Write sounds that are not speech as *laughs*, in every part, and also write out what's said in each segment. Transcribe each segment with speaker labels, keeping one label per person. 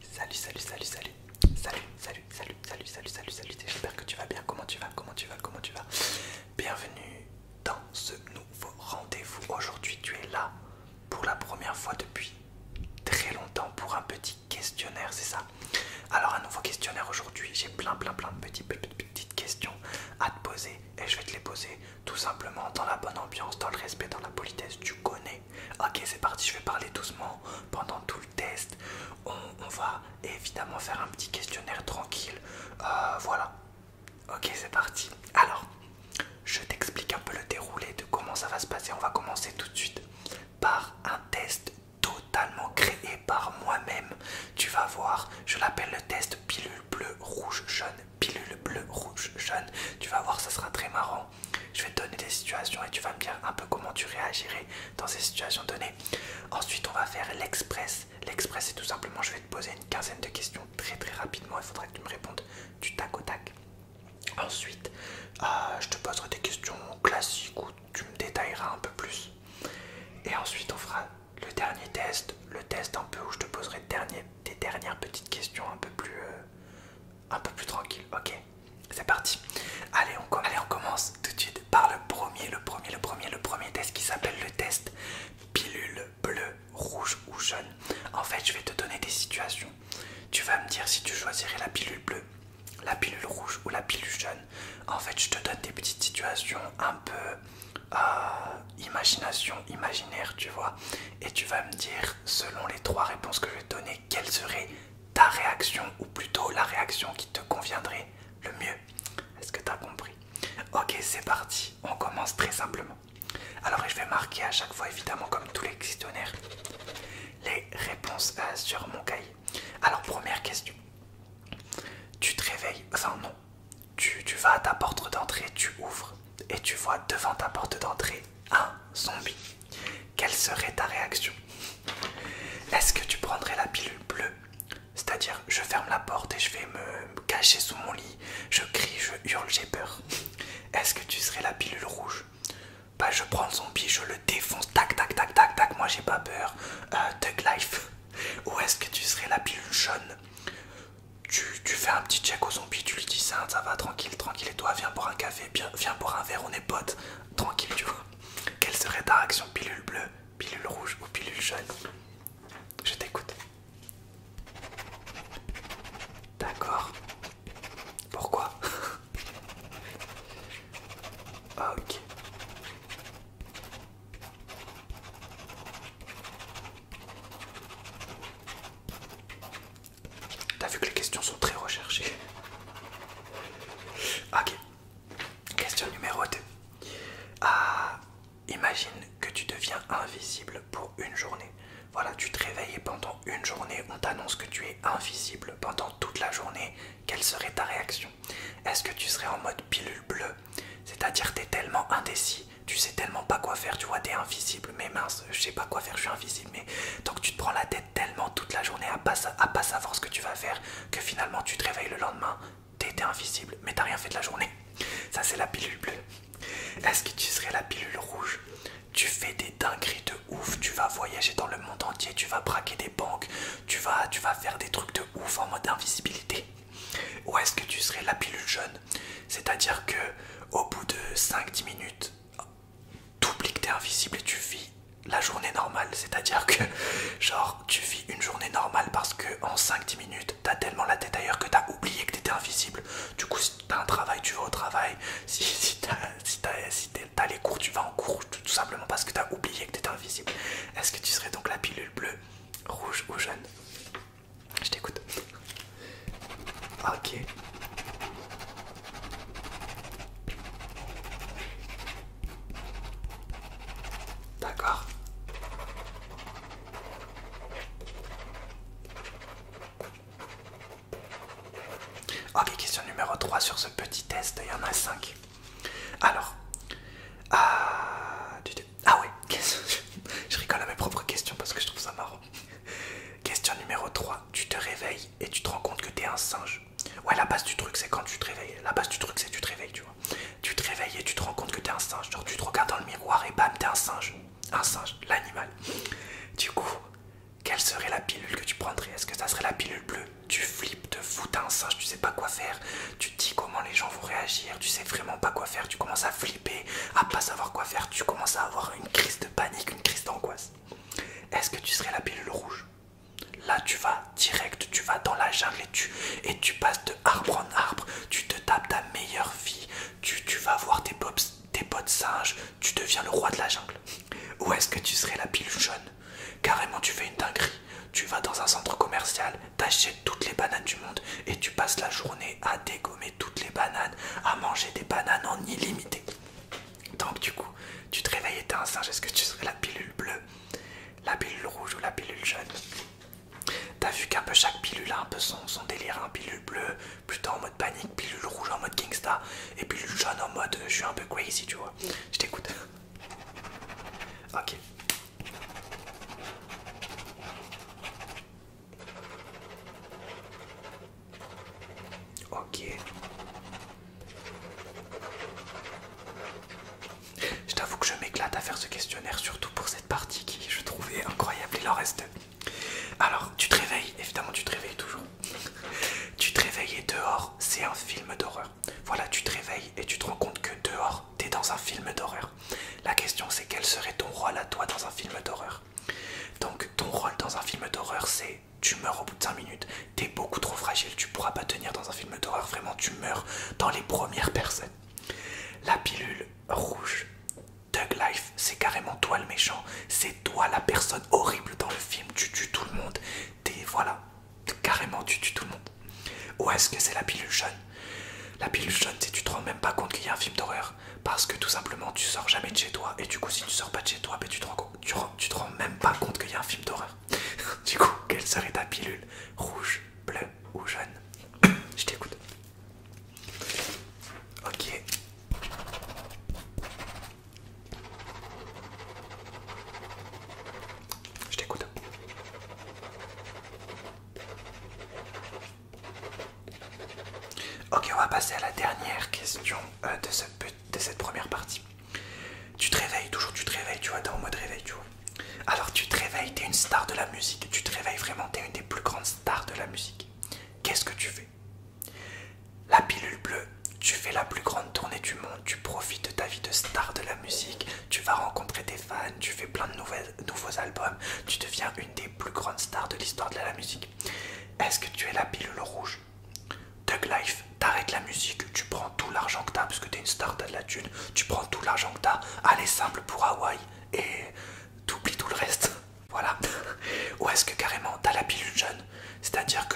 Speaker 1: Salut, salut, salut, salut, salut, salut, salut, salut, salut, salut, salut. J'espère que tu vas bien. Comment tu vas Comment tu vas Comment tu vas Bienvenue dans ce nouveau rendez-vous. Aujourd'hui, tu es là pour la première fois depuis très longtemps pour un petit questionnaire, c'est ça Alors, un nouveau questionnaire aujourd'hui. J'ai plein, plein, plein de petites, petites questions à te poser et je vais te les poser tout simplement dans la bonne ambiance, dans le respect, dans la politesse. Tu connais Ok, c'est parti, je vais parler doucement pendant tout le test. On, va évidemment faire un petit questionnaire tranquille. Euh, voilà. Ok, c'est parti. Alors, je t'explique un peu le déroulé de comment ça va se passer. On va commencer tout de suite par un test totalement créé par moi-même. Tu vas voir, je l'appelle le test pilule bleu, rouge, jaune. Pilule bleu, rouge, jaune. Tu vas voir, ça sera très marrant. Je vais te donner des situations et tu vas me dire un peu comment tu réagirais dans ces situations données. Ensuite, on va faire l'express. L'express, c'est tout simplement, je vais te poser une quinzaine de questions très très rapidement. Il faudra que tu me répondes du tac au tac. Ensuite, euh, je te poserai des questions classiques où tu me détailleras un peu plus. Et ensuite, on fera le dernier test, le test un peu où je te poserai des dernières petites questions un peu plus, euh, un peu plus tranquille. Ok, c'est parti. Allez on, on commence tout de suite par le premier, le premier, le premier, le premier test qui s'appelle le test pilule bleue, rouge ou jaune. En fait, je vais te donner des situations. Tu vas me dire si tu choisirais la pilule bleue, la pilule rouge ou la pilule jaune. En fait, je te donne des petites situations un peu euh, imagination, imaginaire, tu vois. Et tu vas me dire selon les trois réponses que je vais te donner, quelle serait ta réaction ou plutôt la réaction qui te conviendrait le mieux Est-ce que tu as compris Ok, c'est parti, on commence très simplement. Alors, je vais marquer à chaque fois, évidemment, comme tous les questionnaires, les réponses euh, sur mon cahier. Alors, première question tu te réveilles, enfin non, tu vas à ta porte d'entrée, tu ouvres et tu vois devant ta porte d'entrée un ah, zombie, quelle serait ta réaction Est-ce que tu prendrais la pilule bleue C'est-à-dire, je ferme la porte et je vais me cacher sous mon lit, je crie, je hurle, j'ai peur. Est-ce que tu serais la pilule rouge Bah, je prends le zombie, je le défonce, tac, tac, tac, tac, tac, moi j'ai pas peur, euh, Tug Life. Ou est-ce que tu serais la pilule jaune tu, fais un petit check aux zombies, tu lui dis ça, ça va, tranquille, tranquille, et toi, viens pour un café, viens, boire pour un verre, on est potes, tranquille, tu vois. Quelle serait ta réaction, pilule bleue, pilule rouge ou pilule jaune Je t'écoute. D'accord. Pourquoi *laughs* ah, ok. T'as vu que les questions sont très recherchées. Ok. Question numéro 2. Ah, imagine que tu deviens invisible pour une journée. Voilà, tu te réveilles et pendant une journée, on t'annonce que tu es invisible pendant toute la journée. Quelle serait ta réaction Est-ce que tu serais en mode pilule bleue C'est-à-dire t'es tellement indécis tu sais tellement pas quoi faire, tu vois, t'es invisible, mais mince, je sais pas quoi faire, je suis invisible, mais donc tu te prends la tête tellement toute la journée à pas, à pas savoir ce que tu vas faire que finalement tu te réveilles le lendemain, t'es invisible, mais t'as rien fait de la journée. Ça, c'est la pilule bleue. Est-ce que tu serais la pilule rouge Tu fais des dingueries de ouf, tu vas voyager dans le monde entier, tu vas braquer des banques, tu vas, tu vas faire des trucs de ouf en mode invisibilité. Ou est-ce que tu serais la pilule jaune c'est-à-dire que au bout de 5-10 minutes, tu oublies que t'es invisible et tu vis la journée normale. C'est-à-dire que genre tu vis une journée normale parce que en 5-10 minutes, t'as tellement la tête ailleurs que t'as oublié que t'étais invisible. Du coup, si t'as un travail, tu vas au travail. Si, si t'as si les cours, tu vas en cours, tout, simplement parce que t'as oublié que t'étais invisible. Est-ce que tu serais donc la pilule bleue, rouge ou jaune je t'écoute. Ok. D'accord. Ok, question numéro 3 sur ce petit test, il y en a 5. Alors, euh, ah ouais, *laughs* je rigole à mes propres questions parce que je trouve ça marrant. *laughs* Question numéro 3. Tu te réveilles et tu te rends compte que t'es un singe. Ouais, la base du truc, c'est quand tu te réveilles. La base du truc, c'est tu te réveilles, tu vois. Tu te réveilles et tu te rends compte que t'es un singe. Genre, tu te regardes dans le miroir et bam, t'es un singe. Un singe, l'animal. Du coup, quelle serait la pilule que tu prendrais Est-ce que ça serait la pilule bleue Tu flippes de fou, t'es un singe, tu sais pas quoi faire. Tu te dis comment les gens vont réagir, tu sais vraiment pas quoi faire. Tu commences à flipper après à pas savoir quoi faire, tu commences à avoir une crise de panique, une crise d'angoisse. Est-ce que tu serais la pilule rouge Là, tu vas direct, tu vas dans la jungle et tu, et tu passes de arbre en arbre, tu te tapes ta meilleure vie, tu, tu vas voir des pops, tes potes singes, tu deviens le roi de la jungle. Ou est-ce que tu serais la pilule jaune Carrément, tu fais une dinguerie, tu vas dans un centre commercial t'achètes toutes les bananes du monde et tu passes la journée à dégommer toutes les bananes, à manger des bananes en illimité. Donc du coup, tu te réveilles et t'es un singe, est-ce que tu serais la pilule bleue, la pilule rouge ou la pilule jaune T'as vu qu'un peu chaque pilule a un peu son, délire, hein, pilule bleue plutôt en mode panique, pilule rouge en mode Kingstar et pilule jaune en mode je suis un peu crazy tu vois. Je t'écoute. Ok. Ok. Je t'avoue que je m'éclate à faire ce questionnaire, surtout pour cette partie qui je trouvais incroyable. Il en reste. Alors, tu te réveilles, évidemment, tu te réveilles toujours. tu te réveilles et dehors, c'est un film d'horreur. Voilà, tu te réveilles et tu te rends compte que dehors, T'es dans un film d'horreur. La question c'est quel serait ton rôle à toi dans un film d'horreur Donc ton rôle dans un film d'horreur c'est tu meurs au bout de 5 minutes, t'es beaucoup trop fragile, tu pourras pas tenir dans un film d'horreur, vraiment tu meurs dans les premières personnes. La pilule rouge, Doug Life, c'est carrément toi le méchant, c'est toi la personne horrible dans le film, tu tues tout le monde, t'es voilà, carrément tu tues tout le monde. Ou est-ce que c'est la pilule jaune la pilule jaune, si tu te rends même pas compte qu'il y a un film d'horreur, parce que tout simplement tu sors jamais de chez toi, et du coup, si tu sors pas de chez toi, ben, tu, te rends, tu, te rends même pas compte qu'il y a un film d'horreur. *laughs* du coup, quelle serait ta pilule Rouge, bleue ou jaune *coughs* Je t'écoute. Ok. Je t'écoute. Ok, on va passer à la dernière question euh, de, cette première partie. Tu te réveilles, toujours tu te réveilles, tu vois, dans en mode réveil, tu vois. Alors tu te réveilles, t'es une star de la musique, tu te réveilles vraiment, t'es une des plus grandes stars de la musique. Qu'est-ce que tu fais La pilule bleue, tu fais la plus grande tournée du monde, tu profites de ta vie de star de la musique, tu vas rencontrer tes fans, tu fais plein de nouvelles nouveaux albums, tu deviens une des plus grandes stars de l'histoire de la musique. Est-ce que tu es la pilule rouge Doug Life, t'arrêtes la musique, tu prends tout l'argent que t'as, parce que t'es une star, t'as de la thune, tu prends tout l'argent que t'as, allez simple pour Hawaï et t'oublies tout le reste. *laughs* Voilà. Ou est-ce que carrément t'as la pilule jeune C'est-à-dire que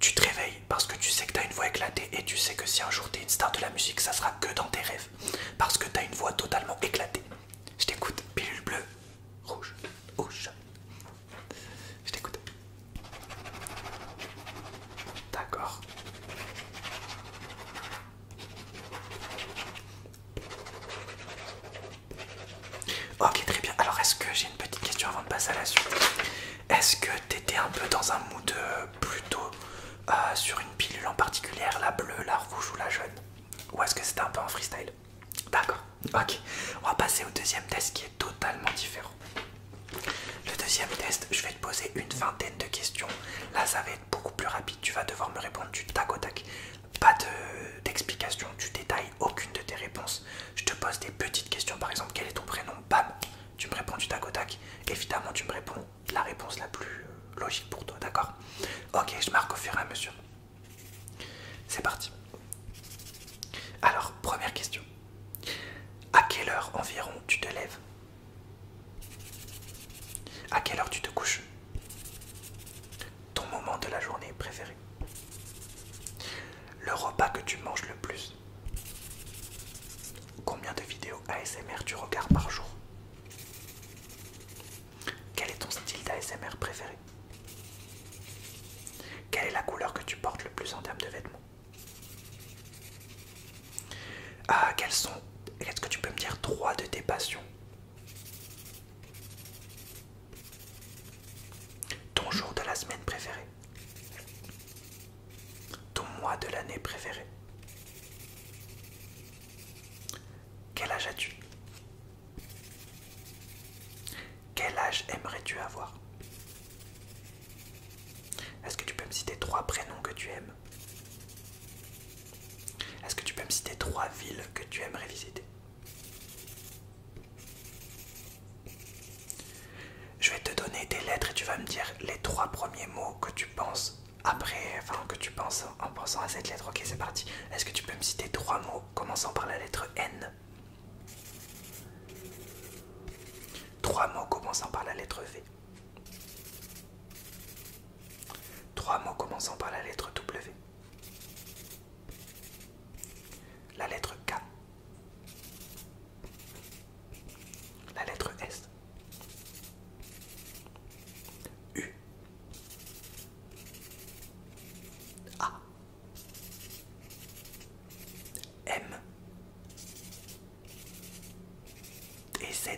Speaker 1: tu te réveilles parce que tu sais que t'as une voix éclatée et tu sais que si un jour t'es une star de la musique, ça sera que dans tes rêves parce que t'as une voix totalement éclatée. Je t'écoute, pilule bleue, rouge, rouge. Je t'écoute. D'accord. Ok, très bien. Alors, est-ce que j'ai une petite question avant de passer à la suite Est-ce que t'étais un peu dans un mood euh, plutôt ah, sur une pilule en particulier, la bleue, la rouge ou la jaune Ou est-ce que c'était un peu en freestyle D'accord, ok. On va passer au deuxième test qui est totalement différent. Le deuxième test, je vais te poser une vingtaine de questions. Là, ça va être beaucoup plus rapide. Tu vas devoir me répondre du tac au tac. Pas d'explication, du tu détailles aucune de tes réponses. Je te pose des petites questions, par exemple, quel est ton prénom Bam Tu me réponds du tac au tac. Évidemment, tu me réponds la réponse la plus euh, logique pour toi, d'accord Ok, je marque au fur et à mesure. C'est parti. Alors, première question. À quelle heure environ tu te lèves À quelle heure tu te couches Ton moment de la journée préféré Le repas que tu manges le plus Combien de vidéos ASMR tu regardes par jour Quel est ton style d'ASMR préféré Quelle est la couleur que tu portes le plus en termes de vêtements ah, Quelles sont Est-ce que tu peux me dire trois de tes passions Ton jour de la semaine préféré ton mois de l'année préféré. Quel âge as-tu Quel âge aimerais-tu avoir Est-ce que tu peux me citer trois prénoms que tu aimes Est-ce que tu peux me citer trois villes que tu aimerais visiter je vais te donner des lettres et tu vas me dire les trois premiers mots que tu penses après, enfin que tu penses en pensant à cette lettre. Ok, c'est parti. Est-ce que tu peux me citer trois mots commençant par la lettre N Trois mots commençant par la lettre V. Trois mots commençant par la lettre W. La lettre K. La lettre S. U A M et Z.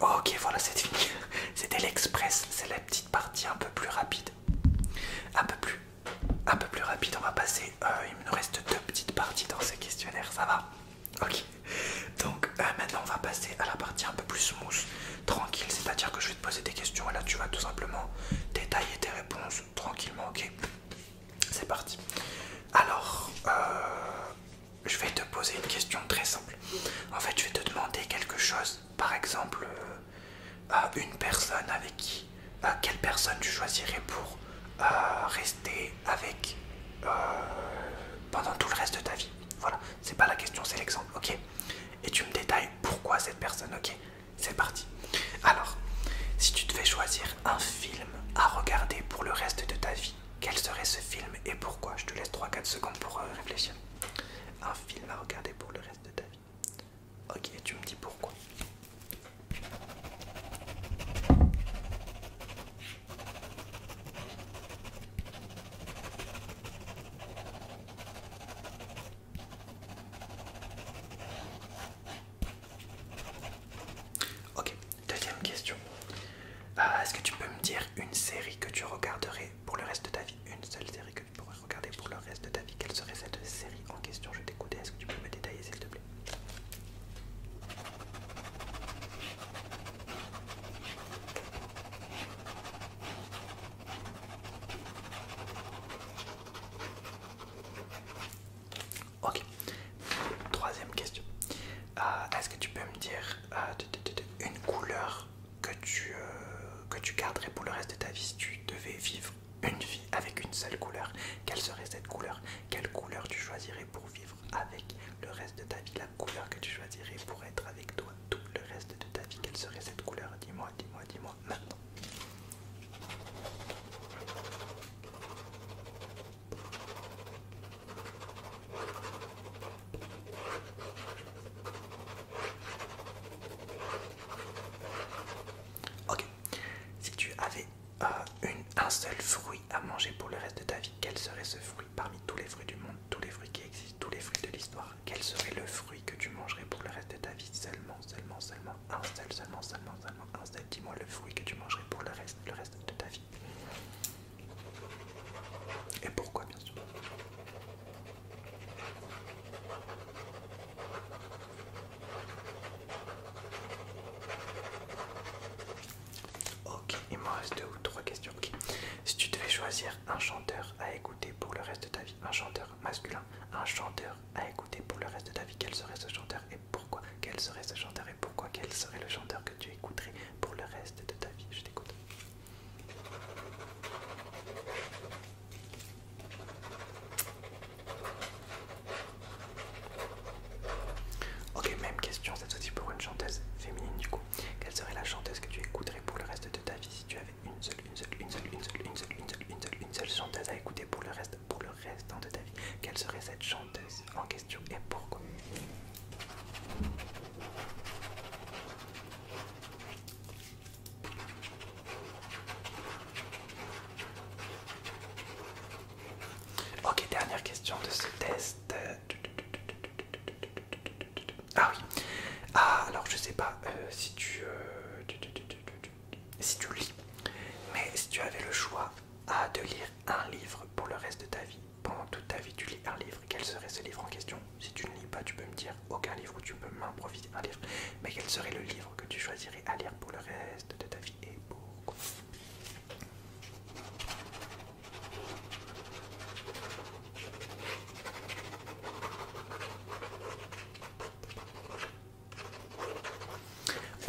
Speaker 1: Ok, voilà, c'est fini. *laughs* C'était l'express, c'est la petite partie un peu plus rapide, un peu plus un peu plus rapide. On va passer. Euh, il me reste deux petites parties dans ces questionnaires, Ça va Ok. Donc euh, maintenant, on va passer à la partie un peu plus smooth, tranquille. C'est-à-dire que je vais te poser des questions et là, tu vas tout simplement détailler tes réponses tranquillement. Ok. C'est parti. Alors, euh, je vais te poser une question très simple. En fait, je vais te demander quelque chose. Par exemple, à une personne avec qui euh, quelle personne tu choisirais pour euh, rester avec euh, pendant tout le reste de ta vie. Voilà, c'est pas la question, c'est l'exemple, ok Et tu me détailles pourquoi cette personne, ok C'est parti. Alors, si tu devais choisir un film à regarder pour le reste de ta vie, quel serait ce film et pourquoi Je te laisse 3-4 secondes pour réfléchir. Un film à regarder pour le reste de ta vie. Ok, tu me dis pourquoi. Ok, deuxième question. Euh, est-ce que tu peux me dire une série que tu regarderais pour le reste de ta vie Une seule série que tu pourrais regarder pour le reste de ta vie quelle serait cette série en question Je t'écoutais, est-ce que tu peux me détailler s'il te plaît Ok, troisième question. Euh, est-ce que tu peux me dire euh, une couleur que tu, euh, que tu garderais pour le reste de ta vie si tu devais vivre une vie avec une seule couleur, quelle serait cette couleur Quelle couleur tu choisirais pour vivre avec le reste de ta vie La couleur que tu choisirais pour être avec toi tout le reste de ta vie, quelle serait cette couleur Dis-moi, dis-moi, dis-moi maintenant. Ok, si tu avais euh, un seul fruit à manger pour le reste de ta vie, quel serait ce fruit parmi tous les fruits du monde, tous les fruits qui existent, tous les fruits de l'histoire Quel serait le fruit que tu mangerais pour le reste de ta vie Seulement, seulement, seulement, un seul, seulement, seulement, seulement, un seul. Dis-moi le fruit que tu mangerais pour le reste, le reste de ta vie. Et pourquoi, bien sûr Ok, il me reste deux ou trois questions. Si tu devais choisir un chanteur à écouter pour le reste de ta vie, un chanteur masculin, un chanteur à écouter pour le reste de ta vie, quel serait ce chanteur et pourquoi Quel serait ce chanteur et pourquoi Quel serait le chanteur que tu écouterais pour le reste de ta vie Je t'écoute. Ok, même question, cette fois-ci pour une chanteuse féminine du coup. Quelle serait la chanteuse que tu écouterais pour le reste de ta vie si tu avais une seule, une seule, une seule, une seule, une seule, une seule, une seule, chanteuse à écouter pour le reste, pour le de ta vie Quelle serait cette chanteuse en question et pourquoi Ok, dernière question de ce test. Ah oui. Ah, alors je sais pas euh, si tu... Euh, si tu lis. Mais si tu avais le choix à de lire un livre pour le reste de ta vie, pendant toute ta vie tu lis un livre, quel serait ce livre en question Si tu ne lis pas, tu peux me dire aucun livre où tu peux m'improviser un livre, mais quel serait le livre que tu choisirais à lire pour le reste de ta vie et pourquoi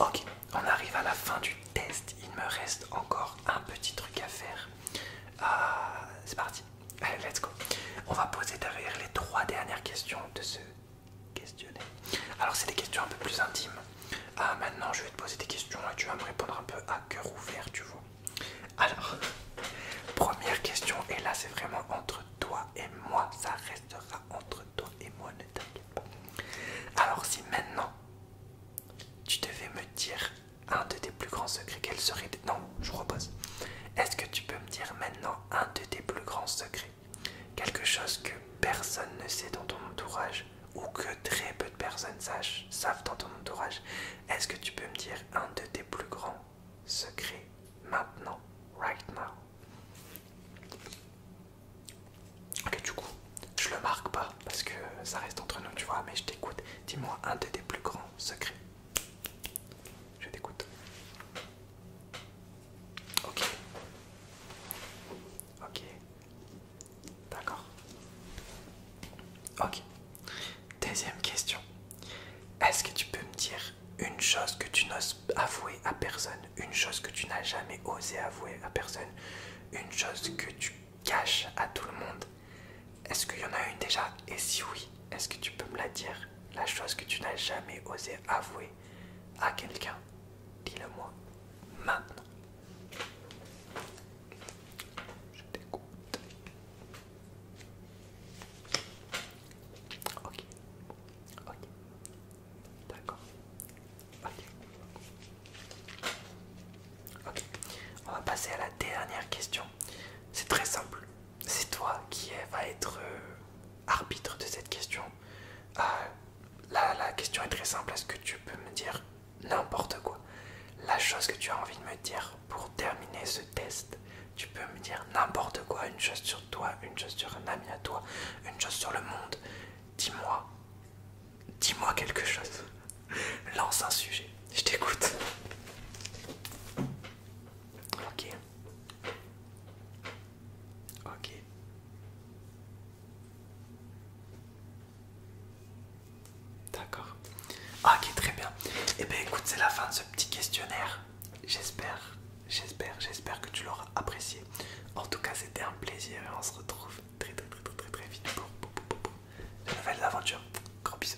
Speaker 1: Ok, on arrive à la fin du test. Il me reste encore un petit truc à faire. Ah, c'est parti. Allez, let's go. On va poser derrière les trois dernières questions de ce questionnaire. Alors, c'est des questions un peu plus intimes. Ah, maintenant, je vais te poser des questions et tu vas me répondre un peu à cœur ouvert, tu vois. Alors, *laughs* première question, et là, c'est vraiment entre toi et moi. Ça restera entre toi et moi, ne t'inquiète pas. Alors, si maintenant tu devais me dire un de tes plus grands secrets, quel serait. Non, je repose. Est-ce que tu peux me dire maintenant un de tes plus grands secrets, quelque chose que personne ne sait dans ton entourage ou que très peu de personnes savent dans ton entourage. Est-ce que tu peux me dire un de tes plus grands secrets maintenant, right now Ok, du coup, je le marque pas parce que ça reste entre nous, tu vois, mais je t'écoute. Dis-moi un de tes plus grands secrets. Je t'écoute. Ok. Ok. D'accord. Ok. Deuxième question. Est-ce que tu peux me dire une chose que tu n'oses avouer à personne, une chose que tu n'as jamais osé avouer à personne, une chose que tu caches à tout le monde Est-ce qu'il y en a une déjà Et si oui, est-ce que tu peux me la dire la chose que tu n'as jamais osé avouer à quelqu'un Dis-le-moi maintenant. Je t'écoute. Ok. Ok. D'accord. Ok. Ok. On va passer à la dernière question. C'est très simple c'est toi qui va être euh, arbitre de cette question. Euh, la question est très simple, est-ce que tu peux me dire n'importe quoi La chose que tu as envie de me dire pour terminer ce test, tu peux me dire n'importe quoi, une chose sur toi, une chose sur un ami à toi, une chose sur le monde. Dis-moi, dis-moi quelque chose. *laughs* Lance un sujet, je t'écoute. Ok. Ok. D'accord. Ok, très bien. Et eh bien écoute, c'est la fin de ce petit questionnaire. J'espère, j'espère, j'espère que tu l'auras apprécié. En tout cas, c'était un plaisir et on se retrouve très très très très très, vite pour, une nouvelle aventure Grand bisous.